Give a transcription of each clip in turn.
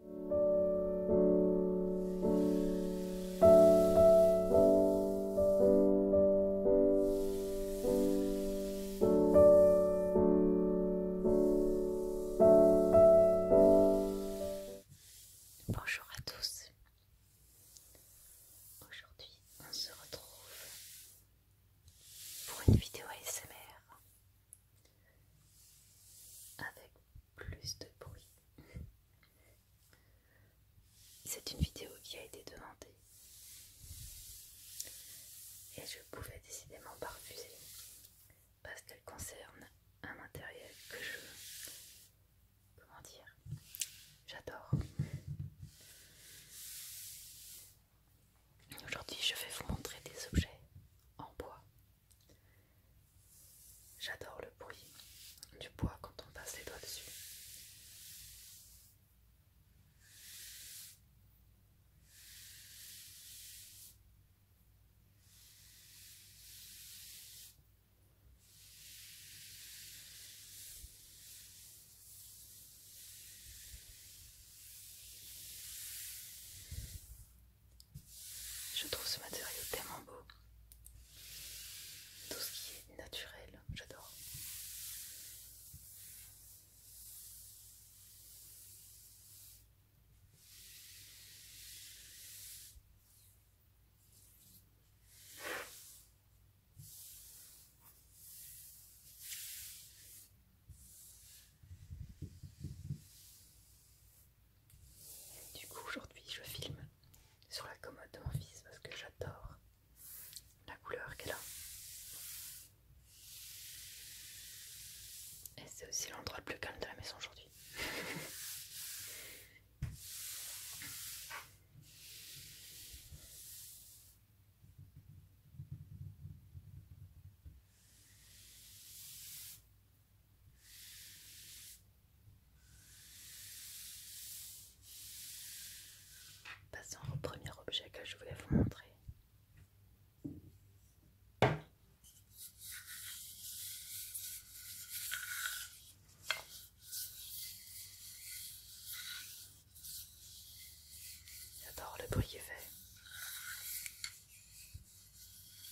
Bonjour à tous. Aujourd'hui, on se retrouve pour une vidéo ASMR avec plus de bruit. C'est une vidéo qui a été demandée et je pouvais décidément pas refuser parce qu'elle concerne un matériel que je... comment dire J'adore. Aujourd'hui je vais vous montrer des objets en bois J'adore le bruit du bois quand on passe les doigts dessus. Je trouve ce matériau tellement beau. Tout ce qui est naturel, j'adore. Du coup, aujourd'hui, je filme sur la commode de mon fils parce que j'adore la couleur qu'elle a. Et c'est aussi l'endroit le plus calme de la maison aujourd'hui. Passons au premier objet que je voulais vous montrer. J'adore le bruit qu'il fait.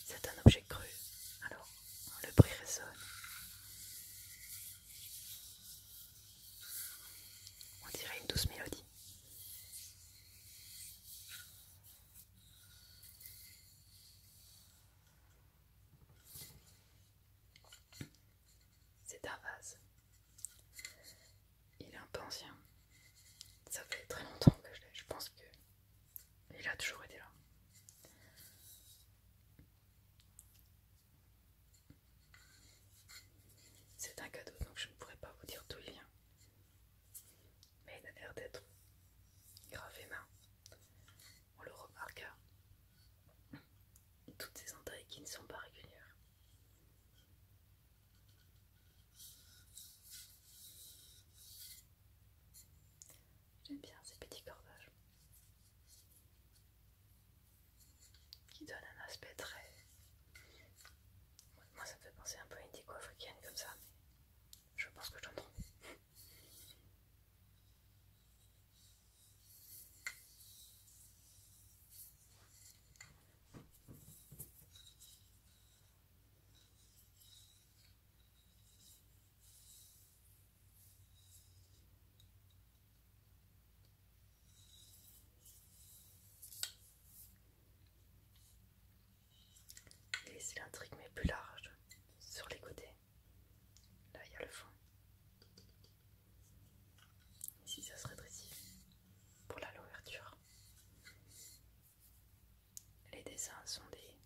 C'est un objet cru, alors le bruit résonne. On dirait une douce mélodie. C'est un vase. Il est un peu ça fait très longtemps que je l'ai, je pense qu'il a toujours été là. C'est un cadeau donc je ne pourrais pas vous dire d'où il vient. Mais il a l'air d'être gravé main. On le remarqua. Hein. Toutes ces entailles qui ne sont pas régulières. J'aime bien ces petits cordages qui donnent un aspect très... Moi ça me fait penser un peu à une déco africaine comme ça, mais je pense que je prends. Les est mais plus large sur les côtés. Là, il y a le fond. Ici, ça se rétrécit pour la l'ouverture. Les dessins sont des,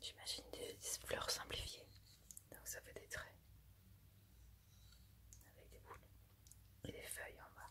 j'imagine des fleurs simplifiées, donc ça fait des traits avec des boules et des feuilles en bas.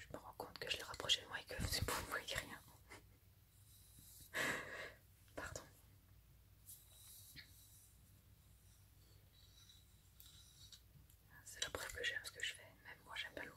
Je me rends compte que je l'ai rapproché de moi et que vous ne voyez rien. Pardon. C'est la preuve que j'aime ce que je fais. Même moi, j'aime pas l'ouvrir.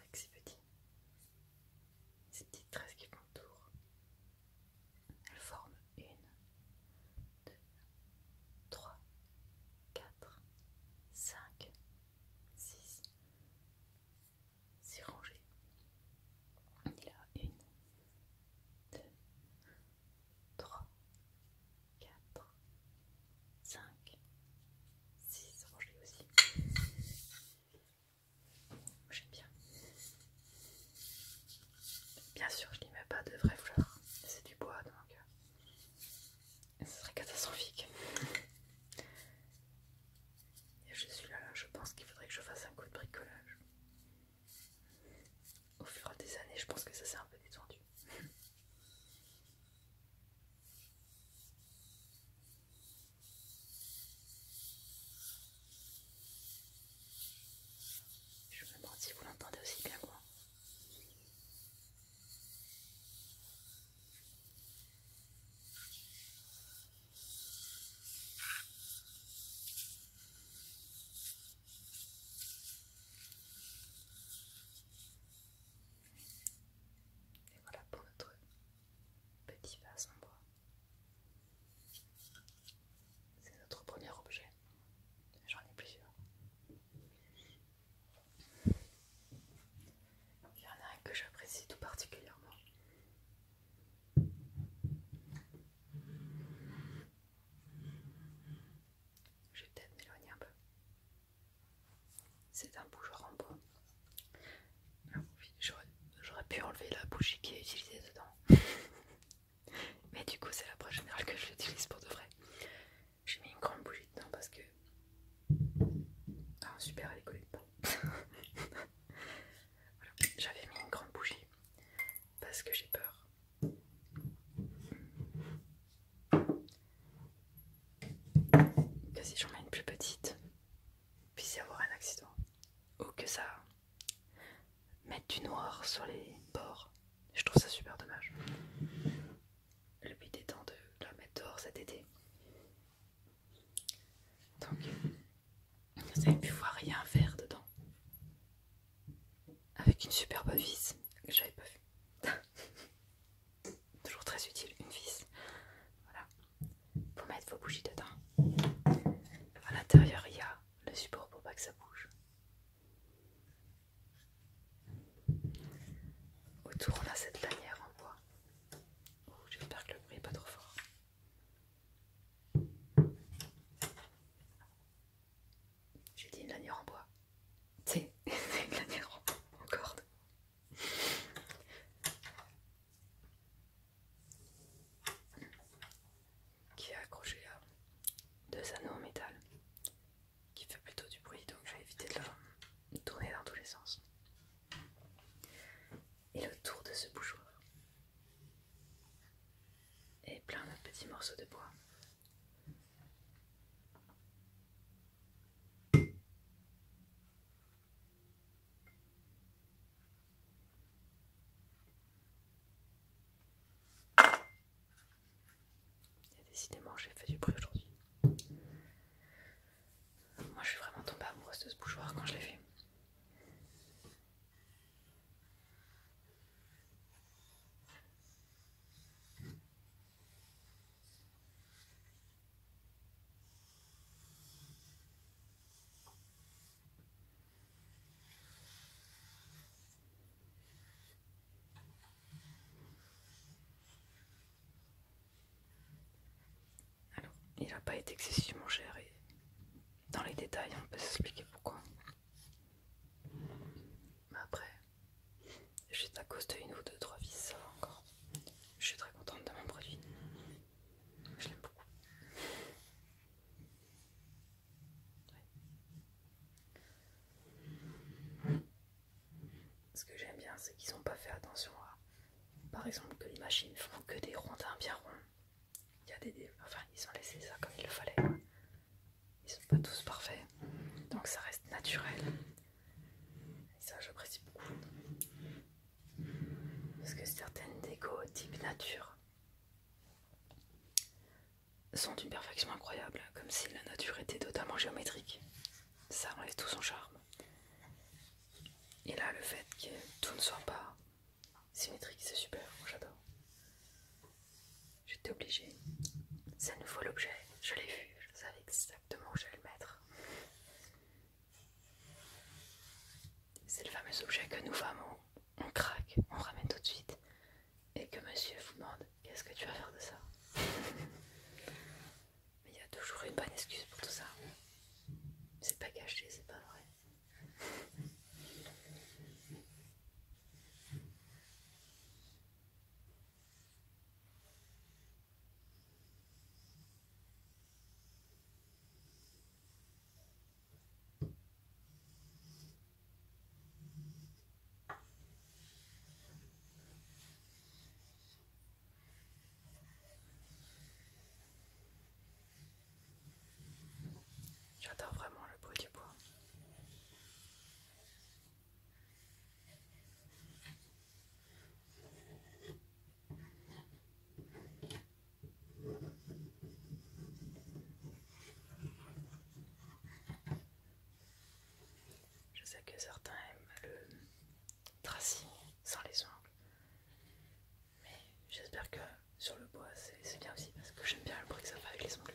avec ces petites tresses qui m'entourent. Elles forment 1, 2, 3, 4, 5, 6, 6 rangé Il y a 1, 2, 3. 4, 5, 6. ça je l'ai aussi. J'aime bien. Bien sûr, je n'y mets pas de vraies fleurs. C'est du bois, donc euh, ce serait catastrophique. Et je suis là, là je pense qu'il faudrait que je fasse un coup de bricolage. Au fur et à des années, je pense que ça s'est un peu détendu. Je me demande si vous l'entendez aussi bien que moi. Et voilà pour notre petit vase en bois. C'est notre premier objet. J'en ai plusieurs. Il y en a un que j'apprécie tout particulièrement. Je vais peut-être m'éloigner un peu. C'est un bougeoir en bois. Ah, j'aurais pu enlever la bougie qui est utilisée dedans. Mais du coup, c'est la prochaine générale que je l'utilise pour de vrai. J'ai mis une grande bougie dedans parce que. Ah, super, elle est collée dedans. J'avais mis une grande bougie parce que j'ai peur que si j'en mets une plus petite, puisse y avoir un accident. Ou que ça mette du noir sur les bords. Je trouve ça super dommage. Le but étant de la mettre dehors cet été. Donc, vous avez pu voir, rien faire dedans. Avec une superbe vis que j'avais pas vue. toujours très utile, une vis. Voilà, pour mettre vos bougies dedans. À l'intérieur, il y a le support pour pas que ça bouge. Autour, on a cette lanière en bois. J'espère que le bruit n'est pas trop fort. J'ai dit une lanière en bois. C'est planète en corde. Qui est accrochée à deux anneaux en métal. Qui fait plutôt du bruit, donc je vais éviter de la tourner dans tous les sens. Et le tour de ce bougeoir est plein de petits morceaux de bois décidément, j'ai fait du bruit aujourd'hui. Moi, je suis vraiment tombée amoureuse de ce bougeoir quand je l'ai fait. Alors, il n'a pas été excessivement cher et dans les détails on peut s'expliquer pourquoi. Mais après, juste à cause de une ou deux, trois vis, encore. Je suis très contente de mon produit. Je l'aime beaucoup. Ce que j'aime bien, c'est qu'ils n'ont pas fait attention à. Par exemple, que les machines font que des rondins bien ronds. Il a Enfin, ils ont laissé ça comme il le fallait. Ils sont pas tous parfaits, donc ça reste naturel. Et ça, j'apprécie beaucoup. Parce que certaines déco type nature sont d'une perfection incroyable, comme si la nature était totalement géométrique. Ça enlève tout son charme. Et là, le fait que tout ne soit pas symétrique, c'est super, j'adore. J'étais obligée. ça nous faut l'objet. Je l'ai vu, je savais exactement où j'allais le mettre. C'est le fameux objet que nous femmes, on, craque, on ramène tout de suite. Et que monsieur vous demande qu'est-ce que tu vas faire de ça Mais il y a toujours une bonne excuse pour tout ça. C'est pas gâché, c'est pas vrai. J'adore vraiment le bruit du bois. Je sais que certains aiment le tracé sans les ongles, mais j'espère que sur le bois c'est bien aussi parce que j'aime bien le bruit que ça fait avec les ongles.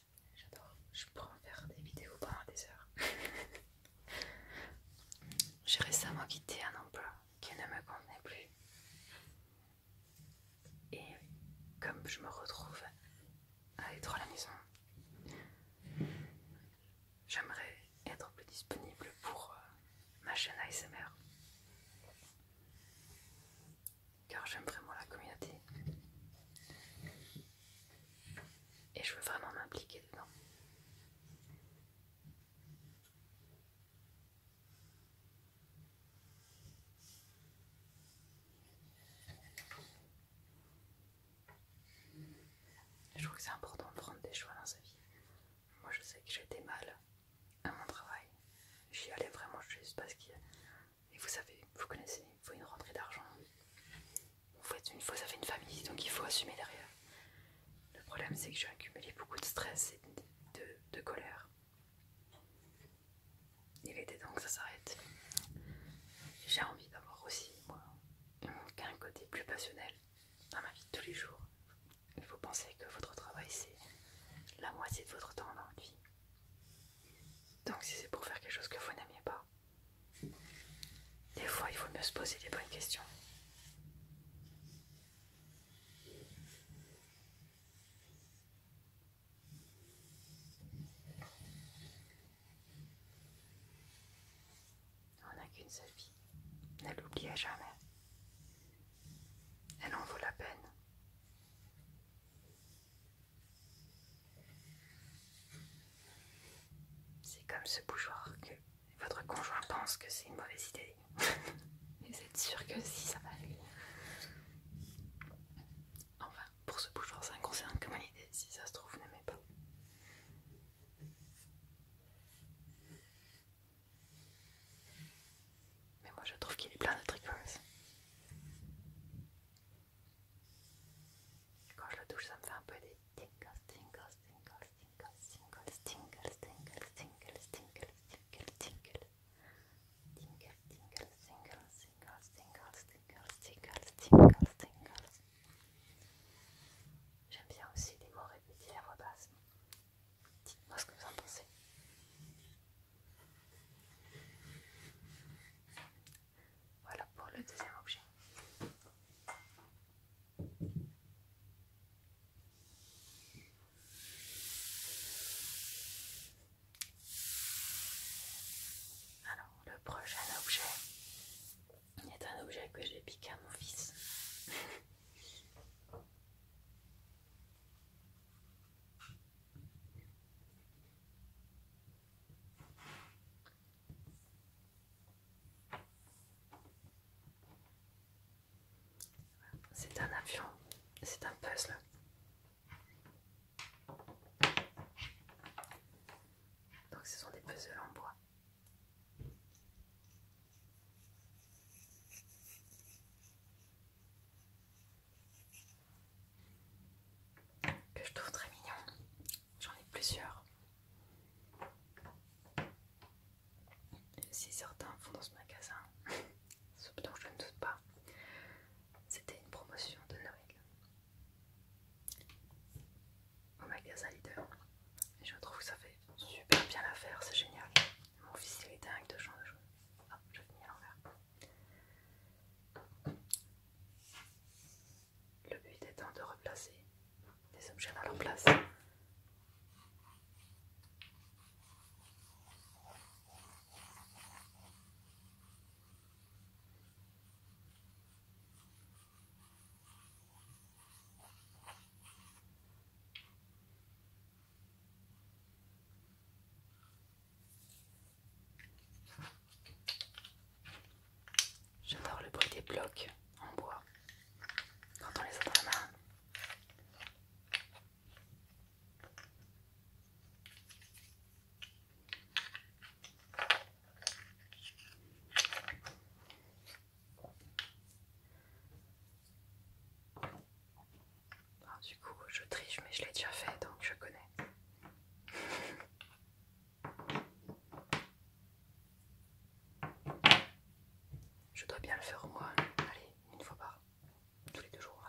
J'adore, je pourrais en faire des vidéos pendant des heures. J'ai récemment quitté un emploi qui ne me convenait plus. Et comme je me retrouve à être à la maison, j'aimerais être plus disponible pour euh, ma chaîne ASMR. Car j'aime vraiment la communauté. Et je veux vraiment m'impliquer dedans. Je trouve que c'est important de prendre des choix dans sa vie. Moi je sais que j'étais mal à mon travail. J'y allais vraiment juste parce avait et vous savez, vous connaissez, il faut une rentrée d'argent. Une fois, ça fait une famille, donc il faut assumer derrière. Le problème, c'est que j'ai accumulé beaucoup de stress et de, colère. Il était temps que ça s'arrête. J'ai envie d'avoir aussi, moi, un côté plus passionnel dans ma vie de tous les jours. Vous pensez que votre travail, c'est la moitié de votre temps dans votre vie. Donc si c'est pour faire quelque chose que vous n'aimiez pas, des fois, il vaut mieux se poser des bonnes questions. On n'a qu'une seule vie. Ne l'oubliez jamais. Elle en vaut la peine. C'est comme ce bougeoir que votre conjoint pense que c'est une mauvaise idée. vous êtes sûr que si ça va lui. Enfin, pour ce bougeoir, ça ne concerne que idée. Si ça se trouve, vous n'aimez pas. Mais moi je trouve qu'il est plein de ça. Quand je le ça me fait un peu des tingles, tingles, tingles, tingles, tingles, tingles, J'aime bien aussi les mots répétés à voix basse. ce que vous en pensez. Voilà pour le deuxième objet. Alors, le prochain objet est un objet que j'ai piqué à mon fils. C'est un avion, c'est un puzzle. Donc ce sont des puzzles en bois que je trouve très mignon. J'en ai plusieurs. Si certains font dans ce magasin, sous dont je ne doute pas, c'était une promotion de Noël au magasin leader. Et je trouve que ça fait super bien l'affaire, c'est génial. Mon fils il est dingue de changer de Hop, ah, je venir à l'envers. Le but étant de replacer les objets à leur place. J'adore le bruit des blocs en bois quand on les a dans la main. Ah, du coup, je triche, mais je l'ai déjà fait donc je connais. Je dois bien le faire moi. allez, une fois par tous les deux jours, on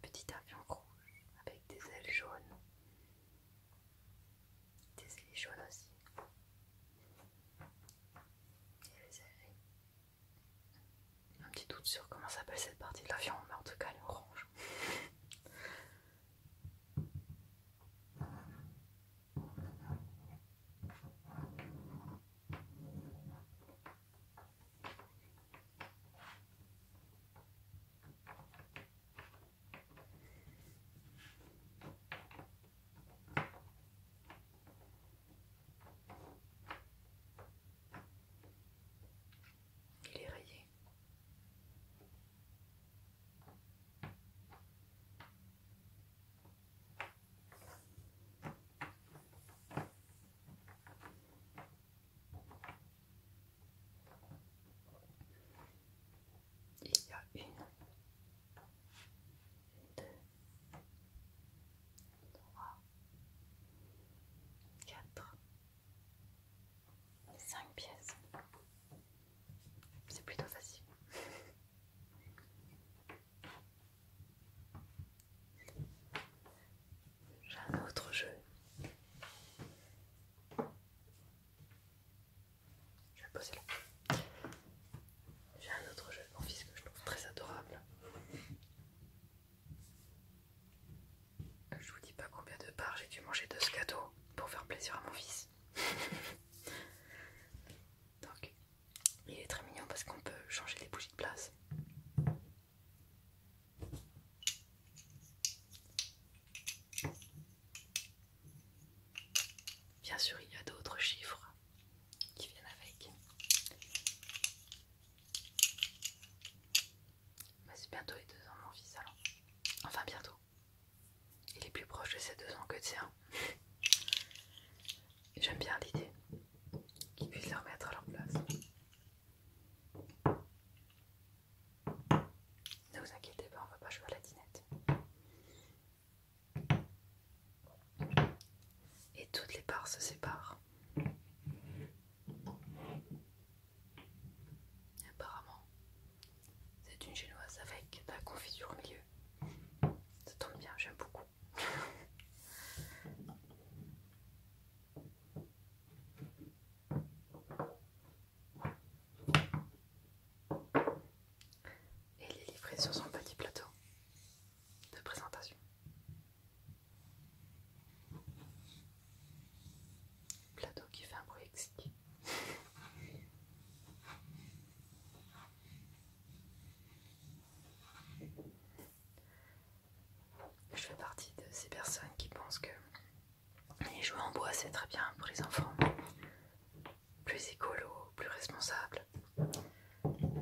Petit avion rouge avec des ailes jaunes. Des ailes jaunes aussi. Et les ailes un petit doute sur comment s'appelle cette partie de la viande, mais en tout cas elle orange. Il est rayé. Il y a une deux, trois, cinq pièces. C'est plutôt facile. J'ai un autre jeu. Je vais poser là. J'ai un autre jeu de mon fils que je trouve très adorable. Je vous dis pas combien de parts j'ai dû manger de ce cadeau pour faire plaisir à mon fils. Donc, il est très mignon parce qu'on peut changer les bougies de place. Bien sûr, il y a d'autres chiffres qui viennent avec. Bah, c'est bientôt les deux ans, mon fils, alors. Enfin, bientôt. Il est plus proche de ses deux ans que de ses un. J'aime bien l'idée qu'ils puissent leur remettre à leur place. Ne vous inquiétez pas, on va pas jouer à la dinette. Et toutes les parts se séparent. Apparemment, c'est une génoise avec de la confiture au milieu. Ça tombe bien, j'aime beaucoup. Et les livré sur son petit plateau de présentation. Plateau qui fait un bruit exquis. Je fais partie de ces personnes qui pensent que les jouets en bois c'est très bien pour les enfants, plus écolo, plus responsable.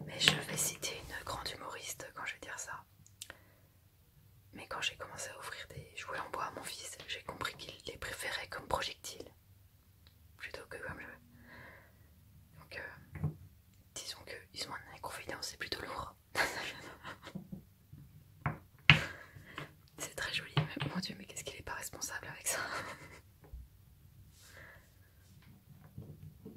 Mais je vais citer une grande humoriste quand je vais dire ça. Mais quand j'ai commencé à offrir des jouets en bois à mon fils, j'ai compris qu'il les préférait comme projectiles plutôt que comme jeu. Donc, euh, disons qu'ils ont un inconvénient, c'est plutôt lourd. c'est très joli, mais mon dieu, mais qu'est-ce qu'il est pas responsable avec ça je vais les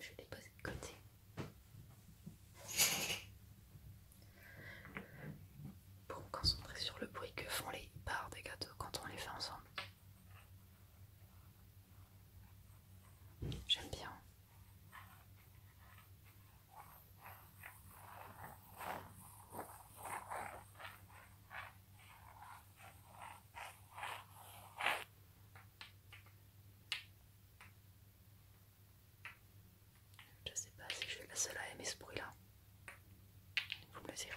poser de côté pour me concentrer sur le bruit que font les barres des gâteaux quand on les fait ensemble. J'aime bien. Je sais pas si je suis la seule à aimer ce bruit là. Vous me direz.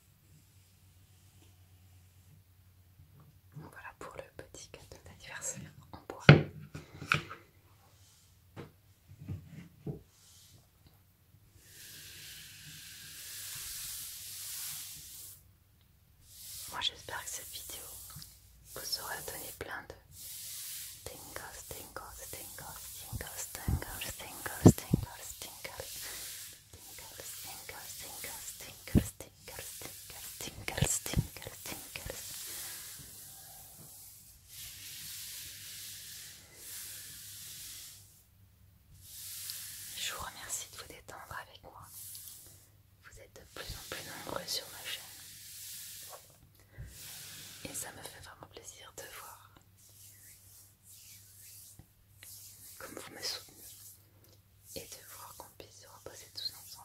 Voilà pour le petit cadeau d'anniversaire en bois. Moi j'espère que cette vidéo vous aura donné plein de tingles, tingles, tingles, tingles, tingles, tingles, tingles, tingles, je vous remercie de vous détendre avec moi. Vous êtes de plus en plus nombreux sur ma chaîne. Et ça me fait vraiment plaisir de voir comme vous me soutenez et de voir qu'on puisse se reposer tous ensemble.